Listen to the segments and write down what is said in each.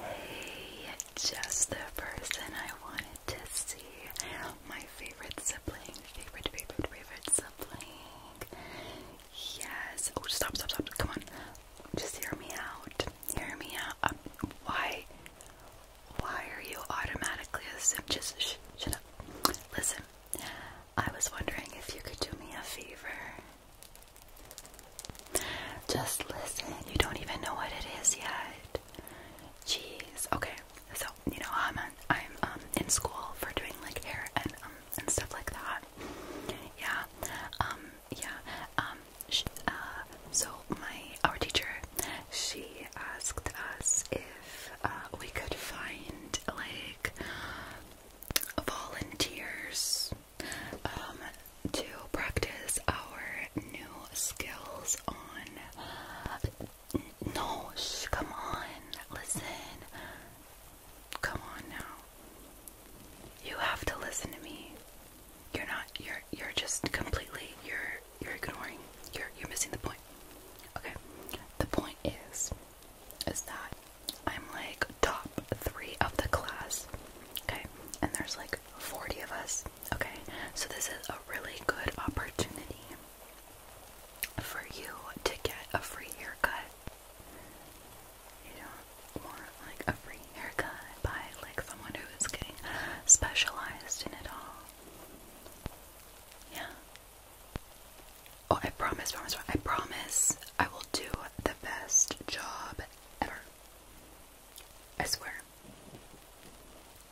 Hey, just the person I wanted to see. My favorite sibling, favorite, favorite, favorite sibling. Yes. Oh, stop, stop, stop. Come on. Just hear me out. Hear me out. Um, why? Why are you automatically Just Listen. I was wondering if you could do me a favor. Just listen. You don't even know what it is yet. Jeez. Okay. So you know I'm I'm um in school for doing like hair and um and stuff like that. Yeah. Um. Yeah. Um. Uh, so my our teacher, she asked us if uh, we could find like volunteers um, to practice our new skills on. No, come on, listen. Come on now. You have to listen to me. You're not. You're. You're just completely. You're. You're ignoring. You're. You're missing the point. Okay. The point is, is that I'm like, duh three of the class. Okay, and there's like 40 of us. Okay, so this is a really good opportunity for you to get a free haircut. You don't like a free haircut by like someone who is getting specialized in it all. Yeah. Oh, I promise, promise, I promise I will do the best job ever. I swear.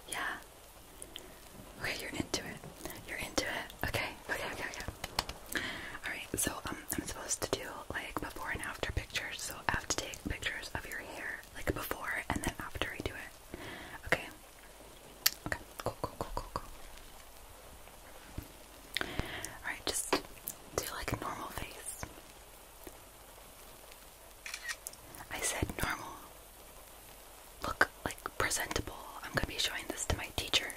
Yeah. Okay, you're into it. You're into it. Okay, okay, okay, okay. Alright, so um, I'm supposed to do like before and after pictures, so I have to take pictures of your hair, like before and then after I do it. Okay. Okay, cool, cool, cool, cool, cool. Alright, just do like a normal face. I said normal. Look like presentable. I'm gonna be showing this to my teacher.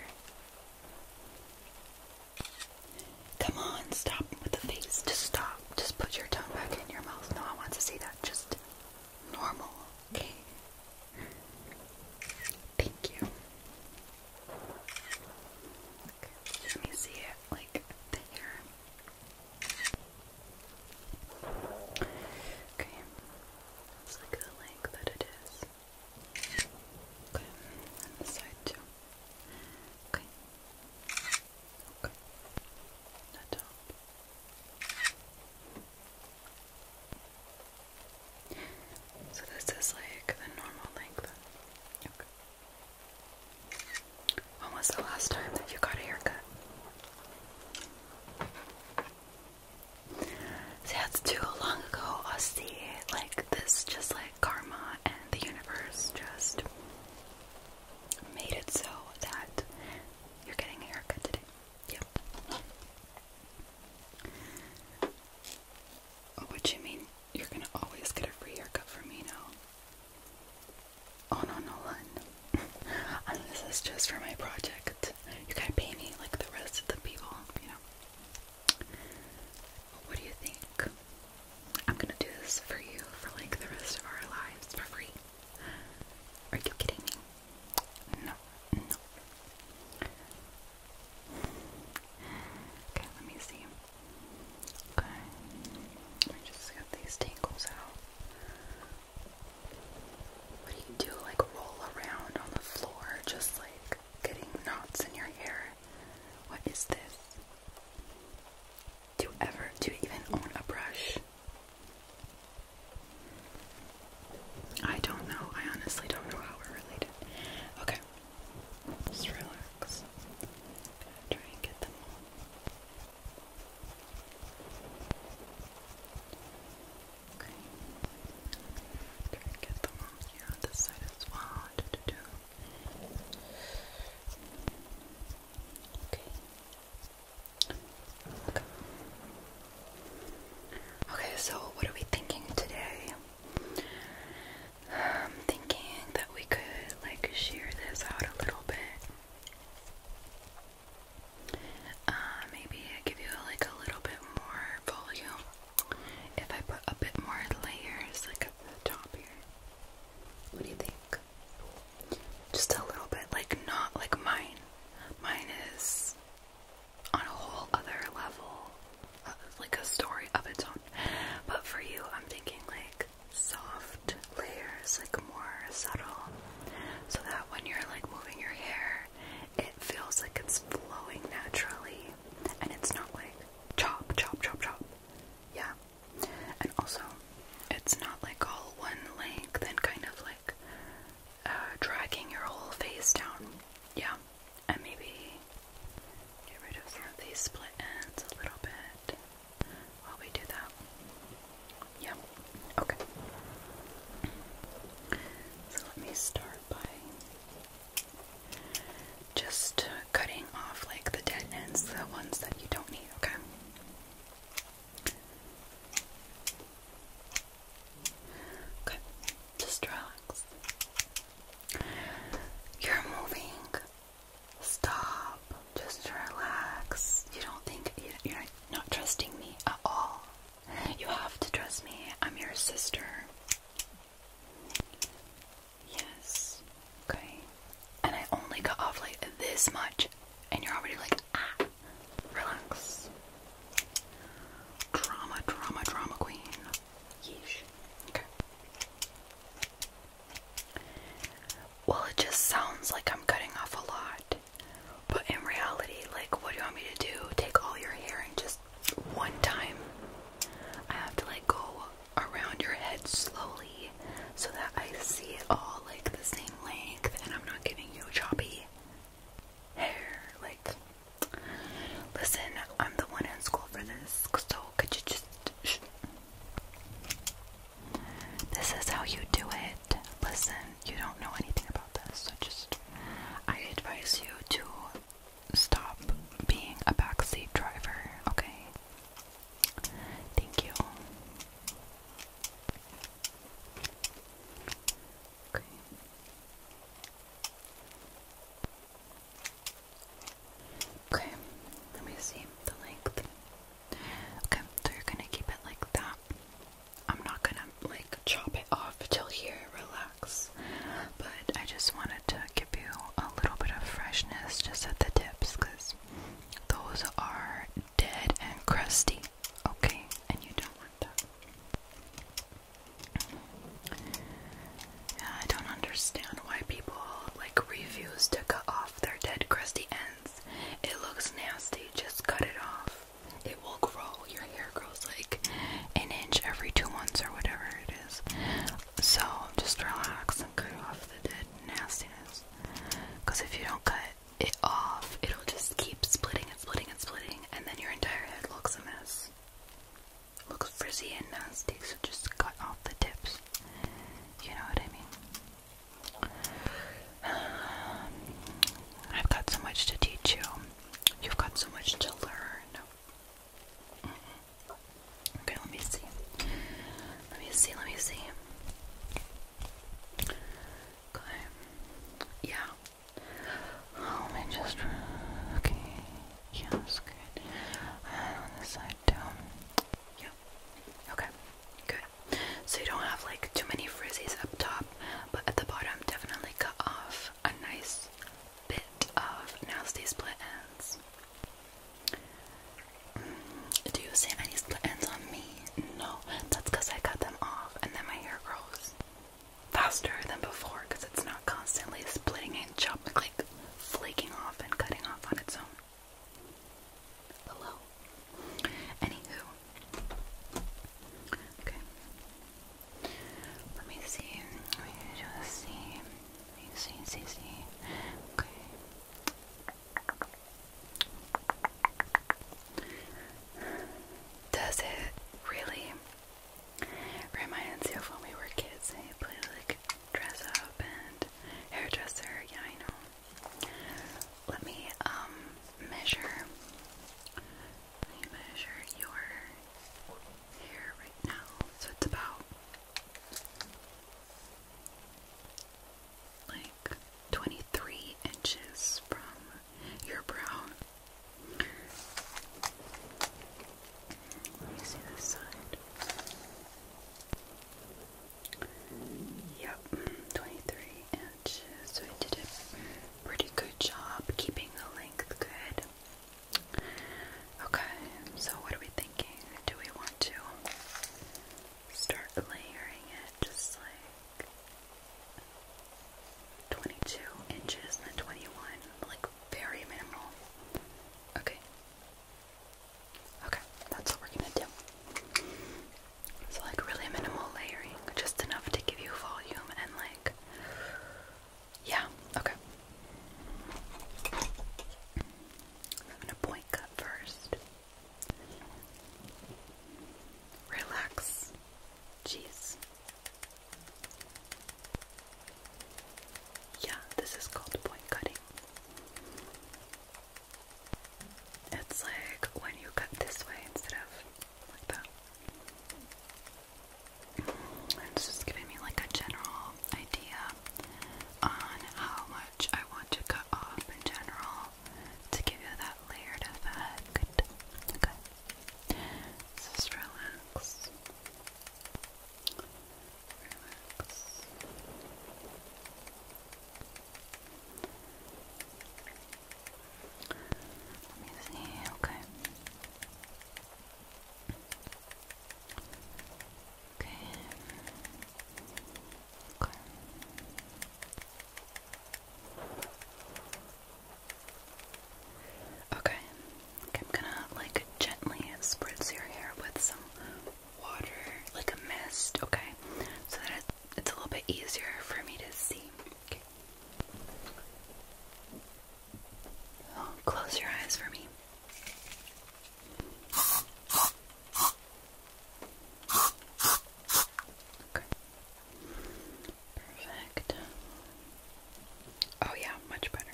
Come on, stop with the face. Just stop. Just put your tongue back in your mouth. No, I want to see that. Just normal. Okay. Thank you. Let me see it like there. Okay. It's like the length that it is. Okay, and this side too. Okay. Okay. The top. So this is like the normal length. When was the last time that you got a haircut? that's too long ago, Aussie. Like, this just like karma and the universe just made it so that you're getting a haircut today. Yep. What you mean? You're gonna always get a free haircut from me now. Oh no, Nolan. and this is just for my project. You gotta pay me like the rest of the people, you know. What do you think? I'm gonna do this for you for like the rest of our lives for free. Are you kidding me? no. Okay, let me see. Okay. I just got these tangles out. What do you do? Like roll around on the floor, just like getting knots in your hair. What is this? Do ever, do you even own a brush? I don't know. I honestly don't know how we're related. Okay. Just relax. try and get them Okay. Try and get them all here on this side as well. Okay. Okay. Okay, so what are we thinking today? I'm thinking that we could like shear this out a little bit. Uh, maybe give you like a little bit more volume if I put a bit more layers like at the top here. What do you think? Just a little bit, like not like mine. Mine is on a whole other level like a story of its own. But for you, I'm thinking like soft layers, like more subtle, so that when you're like moving your hair, it feels like it's flowing naturally, and it's not like chop, chop, chop, chop. Yeah, and also it's not like all one length and kind of like uh, dragging your whole face down. Yeah, and maybe get rid of some of these split ends a little bit while we do that. Yeah, okay. So let me start by just cutting off like the dead ends, the ones that you don't need, okay? Okay, just relax. You're moving Stop. Just relax. You don't think you're not trusting me at all. You have to trust me. I'm your sister. Yes. Okay. And I only cut off like this much, and you're already like, ah, relax. Drama, drama, drama queen. Well, it just sounds like I'm cutting off a lot. But in reality, like, what do you want me to do? Take all your hair and just one time? I have to, like, go around your head slowly so that I see it all, like, the same length and I'm not giving you choppy hair. Like, listen, I'm the one in school for this, so could you just this is how you do it. Listen, you don't know anything about this, so just I advise you to stop being a backseat driver, okay? Thank you. Okay. Okay, let me see the length. Okay, so you're gonna keep it like that. I'm not gonna like chop it off till here, relax. But I just wanted to give you a little bit of freshness just at the tips because those are dead and crusty, okay? And you don't want that. Yeah, I don't understand why people like refuse to cut off their dead crusty ends. It looks nasty, just cut it off. It will grow. Your hair grows like an inch every two months or whatever it is. So just relax and cut off the dead nastiness. Because if you don't cut it off, it'll just keep splitting and splitting and splitting, and then your entire head looks a mess looks frizzy and nasty, so just cut off the tips. You know what I mean? I've got so much to teach you. You've got so much to learn. Okay, let me see. Let me see, let me see. Okay. Yeah. Oh, let me just. Okay. Yeah, that's good. And on this side too. Yep. Okay. Good. So you don't have like too many frizzies up top, but at the bottom definitely cut off a nice bit of nasty split ends. Mm, do you see any split ends on me? No. That's because I cut them off and then my hair grows faster than before because it's not constantly splitting and chopping like flaking off and cutting off on its own. Hello. Anywho. Okay. Let me see. Let me just see. Let me see, see, see. Okay. Does it really Reminds you of when we were kids and you like dress up and hairdresser. Yeah, I know. Let me um measure. Let me measure your hair right now. So it's about like 23 inches from your brow. Let me see this side. Yep, 23 inches. So I did pretty good job keeping the length good. Okay, so what are we thinking? Do we want to start layering it just like 22 inches and 21, like very minimal? Okay. Okay, that's what we're gonna do. So like really minimal layering, just enough to give you volume and like yeah, okay. I'm gonna point cut first. Relax. Jeez. Yeah, this is called point cutting. It's like when you cut this way instead of like that. it's just giving me like a general idea on how much I want to cut off in general to give you that layered effect. Okay. Just relax relax. Let me see, okay. Okay. Okay. Okay, I'm gonna like gently spritz your hair with some water, like a mist, okay? So that it's a little bit easier for me to see. Okay. Oh, close your eyes for me. Okay. Perfect. Oh yeah, much better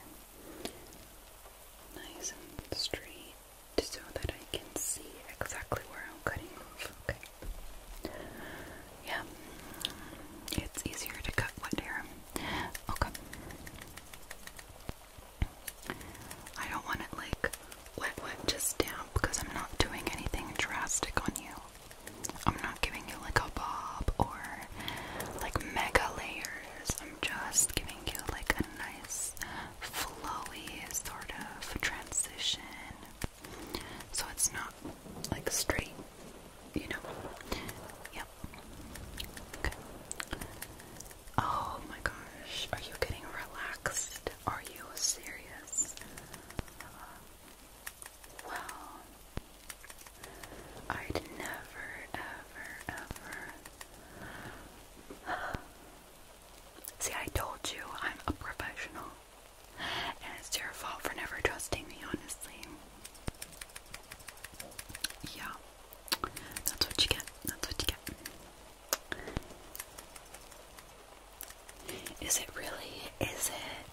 nice and straight so that I can see exactly where I'm cutting off. Okay. Yeah. It's easier to cut wet hair. Okay. I don't want it like wet wet just down because I'm not doing anything drastic on you. I'm not giving you like a bob or like mega layers. I'm just giving you like a nice flowy sort of transition. So it's not like straight, you know. Yep. Okay. Oh my gosh. Are you getting relaxed? Are you serious? Uh, wow. I'd never, ever, ever. See, I told you I'm a professional. And it's your fault for never trusting me, honestly. Yeah. That's what you get. That's what you get. Is it really? Is it?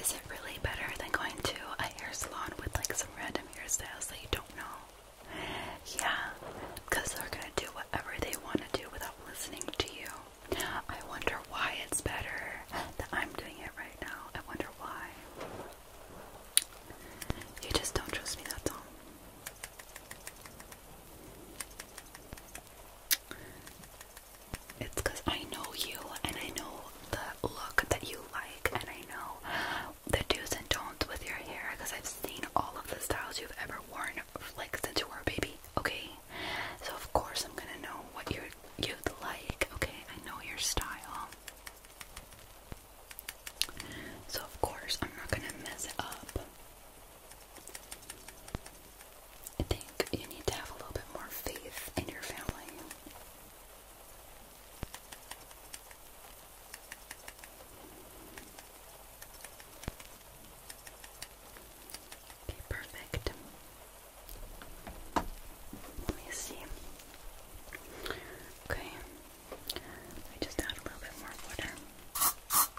Is it really better than going to a hair salon with like some red random hairstyles that you don't know. Yeah, because they're gonna do whatever they want to do without listening to you. I wonder why it's better that I'm doing it right now. I wonder why. You just don't trust me, that's all. It's because I know you and I know the look that you like, and I know the do's and don'ts with your hair because I've seen all of the styles you've ever worn like since you were a baby, okay? So of course I'm gonna know what you you'd like, okay? I know your style. So of course I'm not gonna mess it up. I think you need to have a little bit more faith in your family. Okay, perfect. Let me see. Okay, I just add a little bit more water. Okay.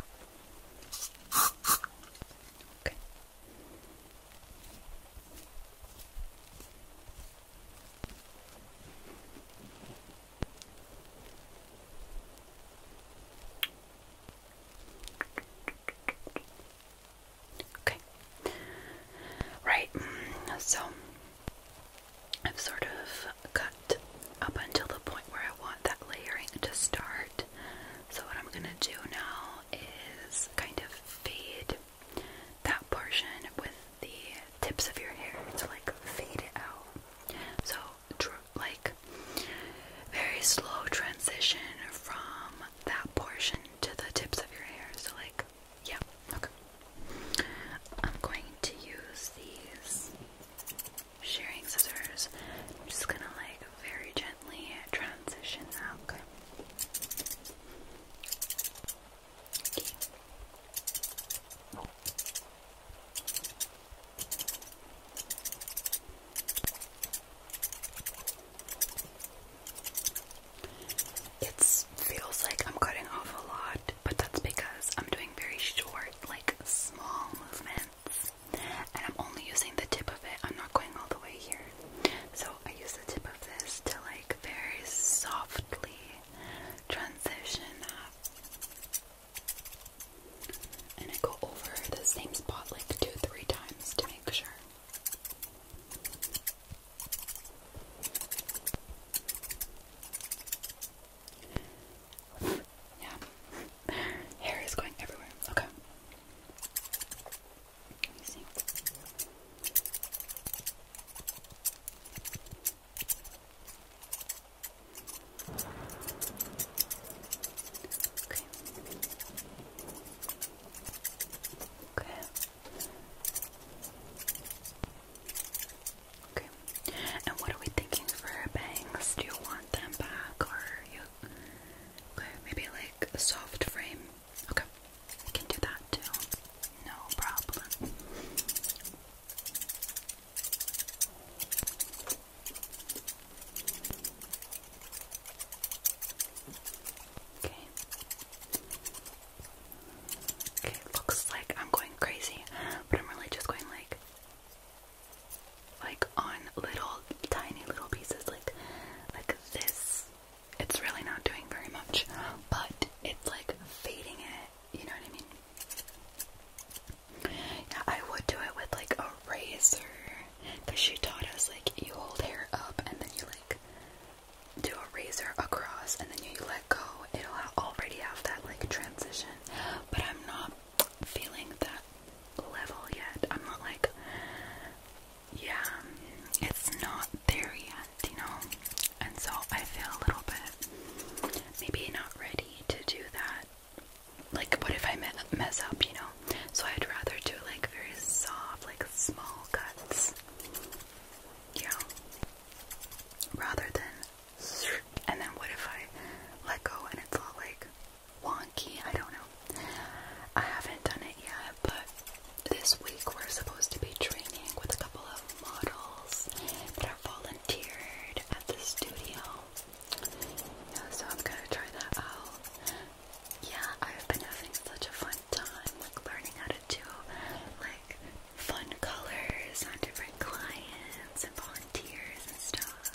Okay. Right. So I've sort of cut up until the point where I want that layering to start. So what I'm going to do now is kind of fade that portion with the tips of your hair to like fade it out. So, like, very slow transition from that portion to the tips of your hair. So, like, yeah, okay. I'm going to use these shearing scissors. I'm just gonna like very gently transition that, okay? It feels like I'm cutting off a lot, but that's because I'm doing very short, like small movements, and I'm only using the tip of it. I'm not going all the way here. So I use the tip of this to like very softly transition up. And I go over the same spot like two, three times to make sure. Yeah. Hair is going everywhere. Okay. Okay. Okay. Okay. And what are we thinking for our bangs? Do you want them back or you? Okay, maybe like a soft frame. Okay, we can do that too. No problem. Okay. Okay, looks like I'm going crazy, but I'm really just going like like on little tiny little pieces like like this it's really not doing very much, but it's like fading it, you know what I mean? Yeah, I would do it with like a razor, because she taught us like you hold hair up and then you like do a razor across and then you let go, it'll already have that like transition, but I'm not feeling that level yet. I'm not like yeah, it's not there yet, you know, and so I feel a little bit maybe not ready to do that. Like, what if I mess up, you know? So I'd rather do like very soft, like small cuts, yeah, rather than. And then what if I let go and it's all like wonky? I don't know. I haven't done it yet, but this week we're supposed to be training with a couple of models that are volunteered at the studio. so I'm gonna try that out. Yeah, I've been having such a fun time like learning how to do like fun colors on different clients and volunteers and stuff.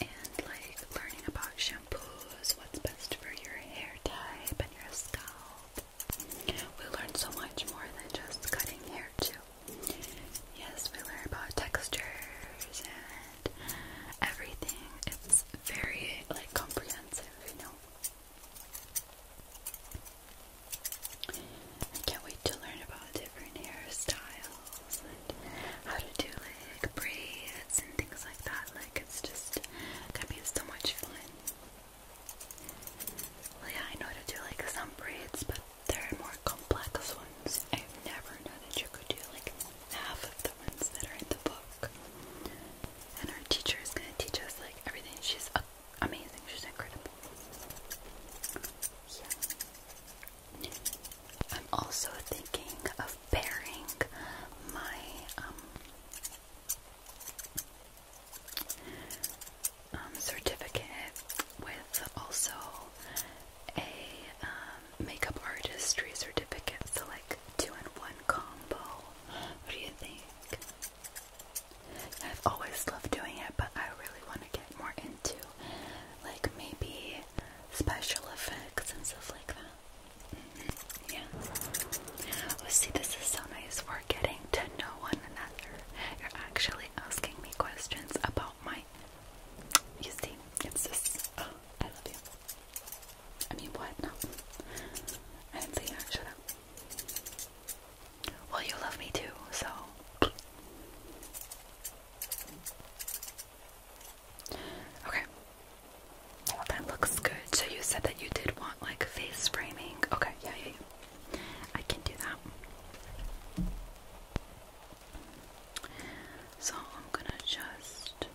And like learning about shampoos, what's best for your hair type and your scalp we learn so much more than just cutting hair too. Yes, we learn about textures and everything. It's very like comprehensive, you know. I can't wait to learn about different hairstyles and how to do like braids and things like that. Like it's just gonna be so much fun. Well, yeah, I know to do like some braids, but there are more complex ones. I've never known that you could do like half of the ones that are in the book. And our teacher is gonna teach us like everything. She's amazing. She's incredible. Yeah. I'm also thinking of pairing my um um, certificate with also a um, makeup artistry certificate. So, like two in one combo. What do you think? I've always loved doing it, but I really want to get more into like maybe special effects and stuff like that. Yeah. Oh, see, this is so nice. We're getting to know one another. You're actually asking me questions about my. You see, it's just. Oh, I love you. I mean, what? No. I didn't say that. Shut up. Well, you love me too, so. Okay that looks good. So you said that you did want like face framing. Okay, yeah, yeah, yeah. I can do that. So I'm gonna just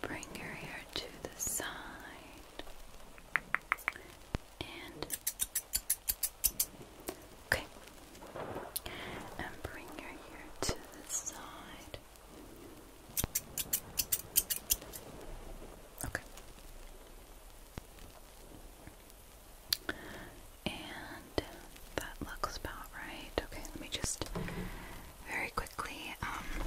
bring your hair to the side and okay, and bring your hair to the side. Okay. And that looks about right. Okay, let me just very quickly um,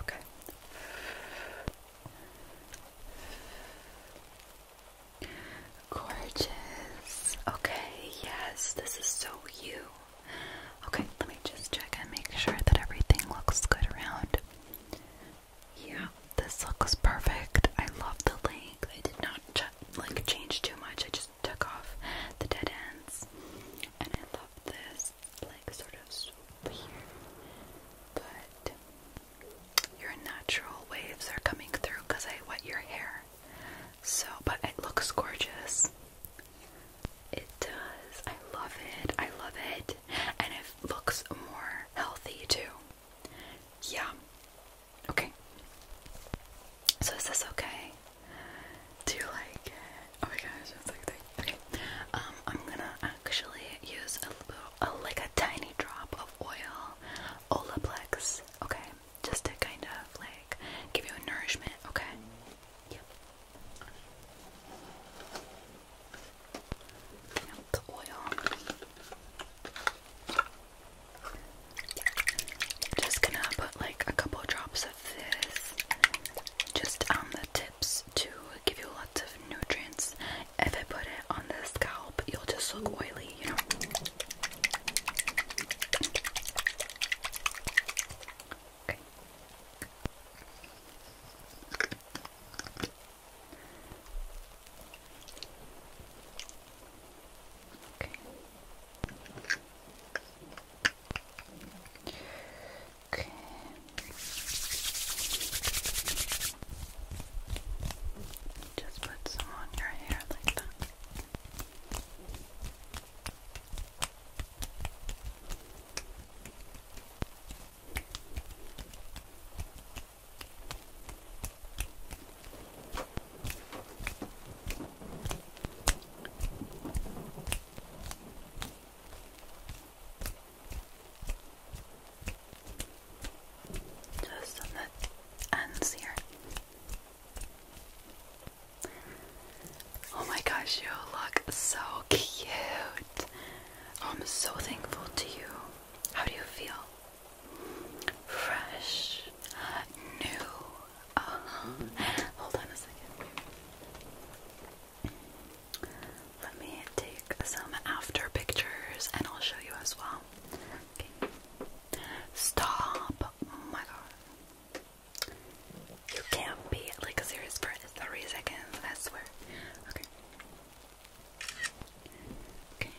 Okay. Gorgeous. Okay, yes, this is so you. Okay, let me just check and make sure that everything looks good around. Yeah, this looks perfect. I love the length. They did not like change too much. I just took off the dead ends. And I love this, like, sort of swoop But your natural waves are coming through I wet your hair. So, but it looks gorgeous. It does. I love it. I love it. And it looks more healthy too. Yeah. Okay. So is this okay? Do you like it? Oh my gosh, Okay. Um, I'm gonna actually use a little, like a tiny drop of oil, Olaplex. Okay, just to kind of like give you a nourishment. Okay. yep the oil. Just gonna put like a couple drops of this just on the tips to give you lots of nutrients. If I put it on the scalp, you'll just look oily, you know. Okay. Okay. Just put some on your hair like that. Just on the ends here. Oh my gosh, you look so cute. Oh, I'm so thankful to you. How do you feel? fresh, new. Uh-huh. Hold on a second. Let me take some after pictures and I'll show you as well. Stop. Oh my god. You can't be like serious for three seconds, I swear. Okay. Okay.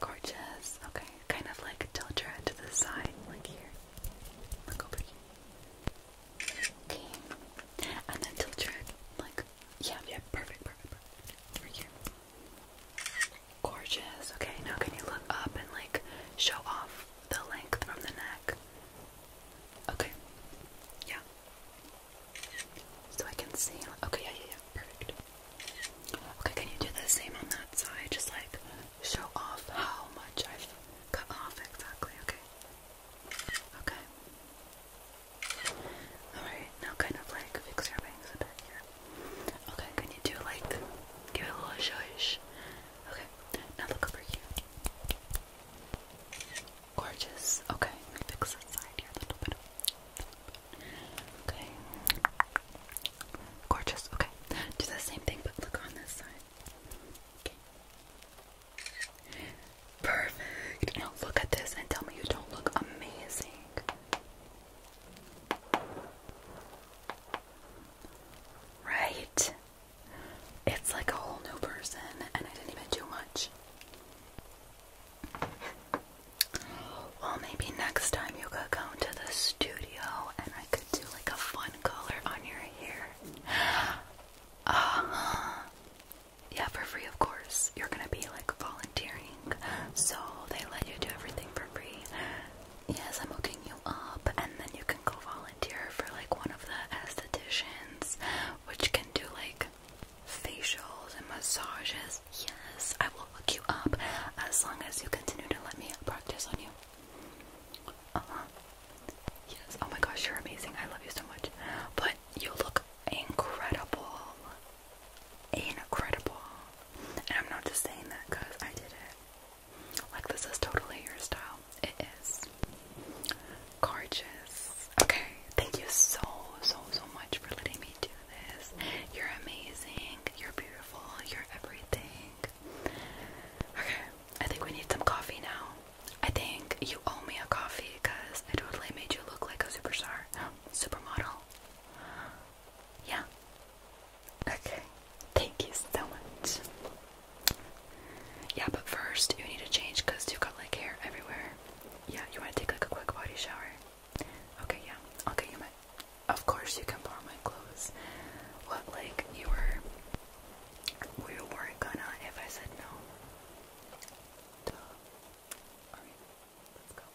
Gorgeous. Okay, kind of like tilt your head to the side, like here. Look over here. Okay, and then tilt your like yeah, yeah, perfect, perfect, perfect. Over here. Gorgeous. Okay, now can you look up and like show off the length from the neck? Okay. Yeah. So I can see. Okay, yeah, yeah, yeah. Perfect. Okay, can you do the same on that side? Just like show off how much I've cut off exactly, okay? Okay. Alright, now kind of like fix your bangs a bit here. Okay, can you do like give it a little shush? Okay, now look over here. Gorgeous. Okay, fix that side here a little bit. Okay. Gorgeous. Okay. Do the same thing, but look on this side. Okay. Perfect. Now look at this and tell me you don't look amazing. Right? It's like a whole new person, and I didn't even do much. Well, maybe next time you could come to the studio and I could do like a fun color on your hair. Uh Yeah, for free, of course. You're gonna be like volunteering, so they let you do everything for free. Yes, I'm hooking you up, and then you can go volunteer for like one of the estheticians, which can do like facials and massages Yes, I will look you up as long as you continue to let me practice on you. Uh huh. Yes, oh my gosh, you're amazing. I love you so much. But you look incredible. Incredible. And I'm not just saying that because I did it. Like, this is totally your style. It is. Gorgeous. Okay, thank you so, so, so much for letting me do this. You're amazing. You're beautiful. You're everything. Okay, I think we need some coffee now. I think you owe me a coffee because I totally made you look like a superstar, supermodel. Yeah. Okay. Thank you so much. Yeah, but first you need to change because you've got like hair everywhere. Yeah, you want to take like a quick body shower. Okay, yeah. Okay, you might. Of course, you can borrow my clothes. What, like, you were. We weren't gonna if I said no. Duh. Alright, let's go.